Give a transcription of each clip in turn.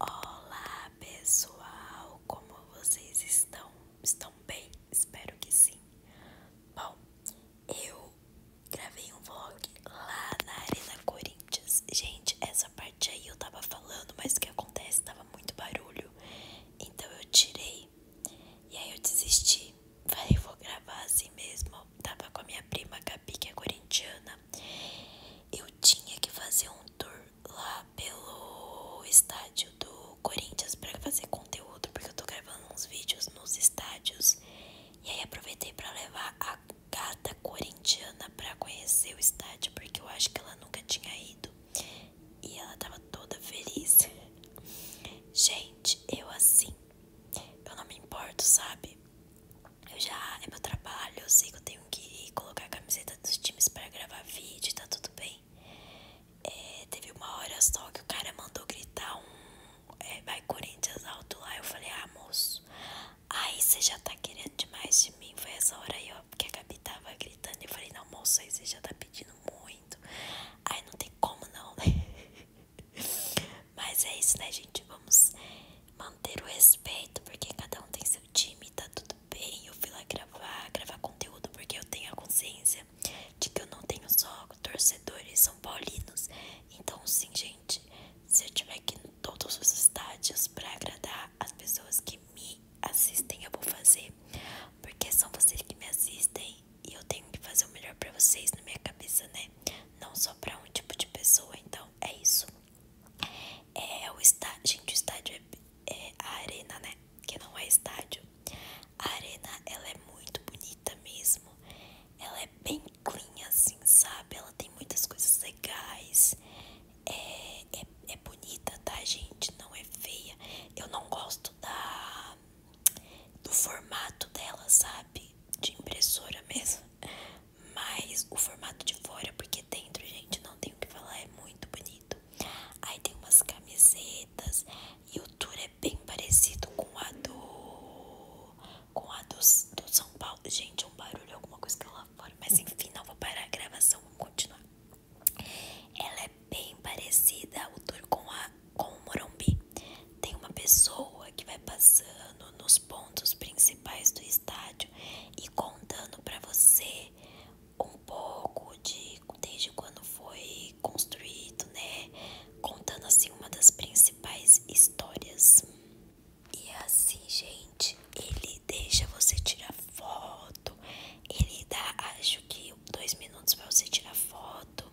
Olá pessoal, como vocês estão? Estão bem? Espero que sim. Bom, eu gravei um vlog lá na Arena Corinthians. Gente, essa parte aí eu tava falando, mas o que acontece? Tava muito barulho, então eu tirei e aí eu desisti. Falei, vou gravar assim mesmo. Tava com a minha prima Gabi, que é corintiana. Eu tinha que fazer um tour lá pelo estádio do Corinthians para fazer conteúdo, porque eu tô gravando uns vídeos nos estádios. E aí aproveitei para levar a gata corintiana para conhecer o estádio, porque eu acho que ela nunca tinha ido. E ela tava toda feliz. Gente, eu assim, eu não me importo, sabe? Eu já, é meu trabalho, eu sei que eu tenho que colocar a camiseta dos times para gravar vídeo, tá tudo bem. É, teve uma hora só que o cara mandou gritar um é, vai Corinthians alto lá. Eu falei, ah, moço, aí você já tá querendo demais de mim. Foi essa hora aí, ó, porque a Gabi tava gritando. Eu falei, não, moço, aí você já tá pedindo muito. Aí não tem como não, né? Mas é isso, né, gente? Vamos manter o respeito, porque cada um tem seu time, tá tudo bem. Eu fui lá gravar, gravar conteúdo, porque eu tenho a consciência de que eu não tenho só torcedores são paulinos. Então, sim, gente, se eu tiver aqui em todos os estádios para agradar as pessoas que me assistem, eu vou fazer, porque são vocês que me assistem e eu tenho que fazer o melhor para vocês na minha cabeça, né? Não só para um tipo de pessoa. Então, é isso. É o estádio, gente, o estádio é, é a arena, né? Que não é estádio. A arena, ela é muito bonita mesmo. Ela é bem clean, assim, sabe? Ela tem muitas coisas legais. É, é, é bonita, tá, gente? Não é feia. Eu não gosto da do formato dela, sabe? De impressora mesmo mas o formato de fora, porque dentro, gente, não tem o que falar, é muito bonito. Aí tem umas camisetas e o tour é bem parecido com a do com a do, do São Paulo. Gente, é um barulho, alguma coisa que eu lá fora, mas enfim, não vou parar a gravação, vamos continuar. Ela é bem parecida o tour com a com o Morumbi. Tem uma pessoa que vai passando nos pontos principais do estádio e contando para você um pouco de desde quando foi construído, né? Contando assim uma das principais histórias. E assim, gente, ele deixa você tirar foto. Ele dá, acho que dois minutos para você tirar foto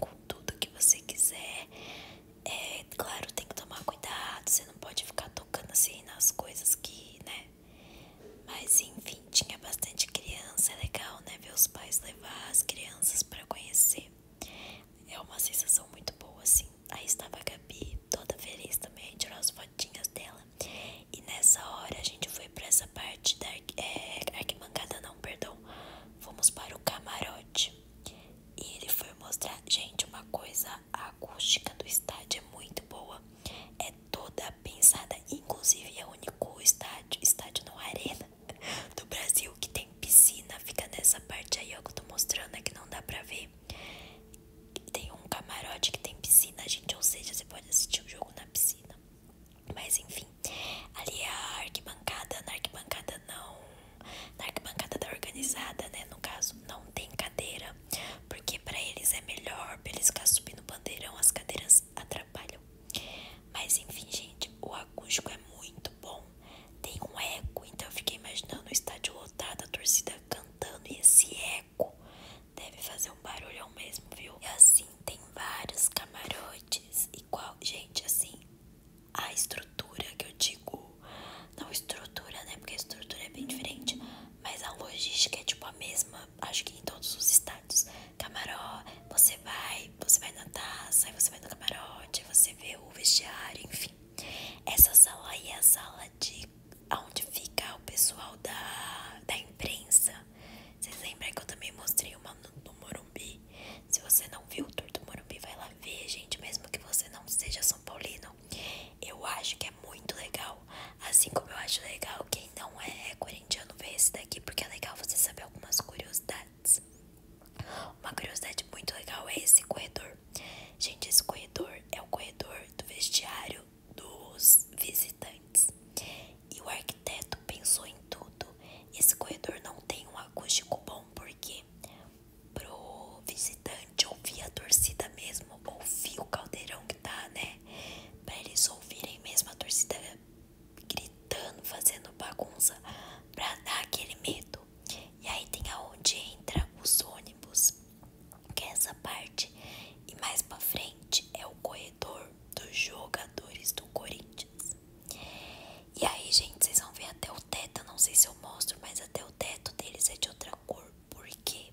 com tudo que você quiser. É, claro, tem que tomar cuidado, você não pode ficar tocando assim nas coisas que, né? Mas enfim, tinha bastante criança, é legal, né? Ver os pais levar as crianças para conhecer. É uma sensação muito boa, assim. Aí estava a Gabi, toda feliz também, tirou as fotinhas dela. E nessa hora a gente foi pra essa parte da é, arquibancada, não, perdão. Fomos para o camarote. E ele foi mostrar, gente, uma coisa, a acústica do estádio é muito boa. É toda pensada, inclusive é o único estádio, estádio não arena do Brasil que tem piscina, fica nessa parte aí ó, é que eu tô mostrando é que não dá pra ver. Tem um camarote que tem piscina, gente, ou seja, você pode assistir o jogo na piscina. Mas enfim, ali é a arquibancada, na arquibancada não na arquibancada da organizada, né? No caso, não tem cadeira, porque para eles é melhor, pra eles ficar subindo o bandeirão, as cadeiras atrapalham. Mas enfim, gente, o acústico é muito bom, tem um eco, então eu fiquei imaginando o estádio lotado, a torcida cantando e esse eco deve fazer um barulhão mesmo, viu? E assim, tem vários camarotes, igual, gente, assim a estrutura que eu digo, não estrutura, né? Porque a estrutura é bem diferente, mas a logística é tipo a mesma, acho que em todos os estados camarote você vai, você vai na taça, aí você vai no camarote, você vê o vestiário, enfim. Essa sala aí é a sala de onde fica o pessoal da, da imprensa. Vocês lembram que eu também mostrei uma número se você não viu o tour Morumbi, vai lá ver, gente. Mesmo que você não seja São Paulino, eu acho que é muito legal. Assim como eu acho legal quem não é, é corintiano ver esse daqui, porque é legal você saber algumas curiosidades. Uma curiosidade muito legal é esse corredor. Gente, esse corredor é o corredor do vestiário dos visitantes. E o arquiteto pensou em tudo esse corredor não tem um acústico bom, porque pro visitante ouvir a torcida mesmo, ouvir o caldeirão que tá, né? Pra eles ouvirem mesmo a torcida gritando, fazendo bagunça, pra dar aquele medo. E aí tem aonde entra os ônibus, que é essa parte. E mais pra frente é o corredor dos jogadores do Corinthians. E aí, gente, vocês vão ver até o teto. não sei se eu mostro, mas até o teto deles é de outra cor. Por quê?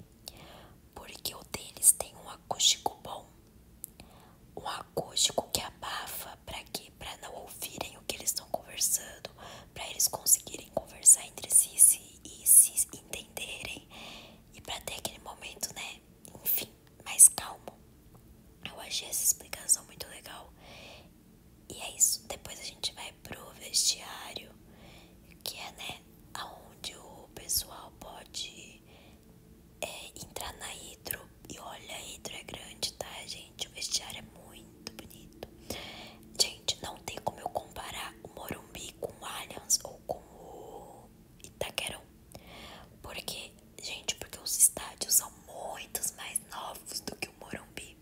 Porque o deles tem um acústico bom. Um acústico que abafa para quê? Para não ouvirem o que eles estão conversando, para eles conseguirem conversar entre si e se entenderem. E para ter aquele momento, né, enfim fim mais calmo. Eu achei essa explicação muito legal. E é isso. Depois a gente vai pro vestiário, que é, né, aonde o pessoal pode é, entrar na hidro. E olha, a hidro é grande, tá, gente? O vestiário é muito bonito. Gente, não tem como eu comparar o Morumbi com o Allianz ou com o Itaquerão. Porque Gente, porque os estádios são muitos mais novos do que o Morumbi.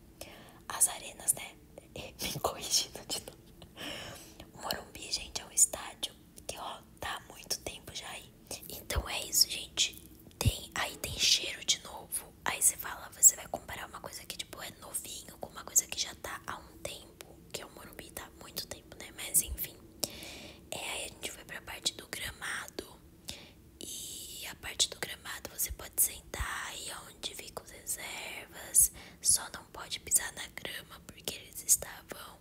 As arenas, né? Me corrigindo de novo. O Morumbi, gente, é um estádio que, ó, tá há muito tempo já aí. Então é isso, gente. Tem, aí tem cheiro de novo. Aí você fala, você vai comparar uma coisa que, tipo, é novinho com uma coisa que já tá há um tempo. Que é o Morumbi, tá há muito tempo, né? Mas enfim. É, aí a gente foi pra parte do gramado. E a parte do gramado você pode sentar e onde ficam as reservas. Só não pode pisar na grama porque eles estavam.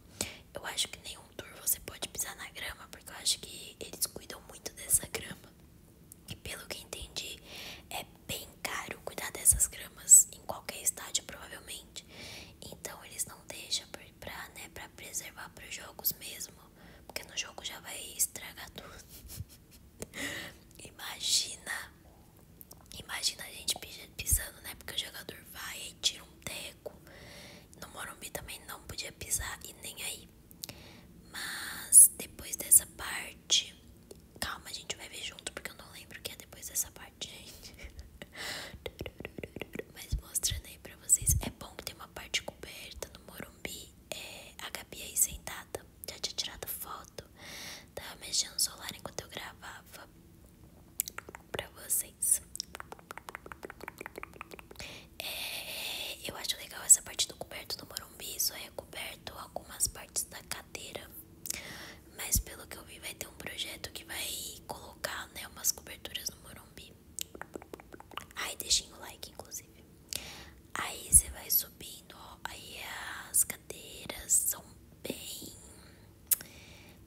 Eu acho que nenhum tour você pode pisar na grama porque eu acho que eles cuidam muito dessa grama. E pelo que entendi, é bem caro cuidar dessas gramas em qualquer estádio, provavelmente. Então eles não deixam pra, né, pra preservar pros jogos mesmo. Porque no jogo já vai estragar tudo. imagina, imagina a gente pisando, né? Porque o jogador vai e tira um teco. No Morumbi também não podia pisar e nem aí. Mas depois dessa parte, calma, a gente vai ver junto porque eu não lembro o que é depois dessa parte gente. Mas mostrando aí pra vocês, é bom que tem uma parte coberta no Morumbi. É, a Gabi aí sentada, já tinha tirado foto. Tava mexendo no celular enquanto eu gravava pra vocês. É, eu acho legal essa parte do coberto do Morumbi. Só é coberto algumas partes da cadeira. Mas pelo que eu vi, vai ter um projeto que vai colocar né, umas coberturas no Morumbi. Aí deixem o like, inclusive. Aí você vai subindo, ó. Aí as cadeiras são bem.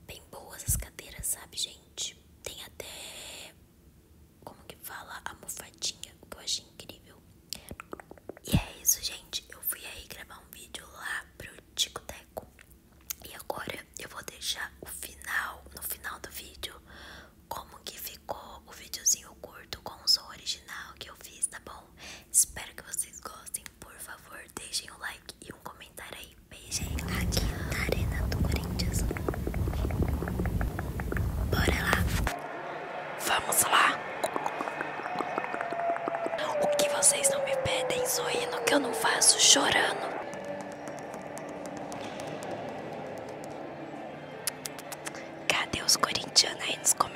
Bem boas as cadeiras, sabe, gente? Tem até. Como que fala? A mofadinha, o que eu achei incrível. E é isso, gente. Eu fui aí gravar um vídeo lá pro Tico e agora eu vou deixar o final, no final do vídeo, como que ficou o videozinho curto com o som original que eu fiz, tá bom? Espero que vocês gostem, por favor, deixem um like e um comentário aí. beijinho aqui na Arena do Corinthians. Bora lá! Vamos lá! O que vocês não me pedem, sorrindo que eu não faço, chorando. Cadê os corintianos aí nos comentários?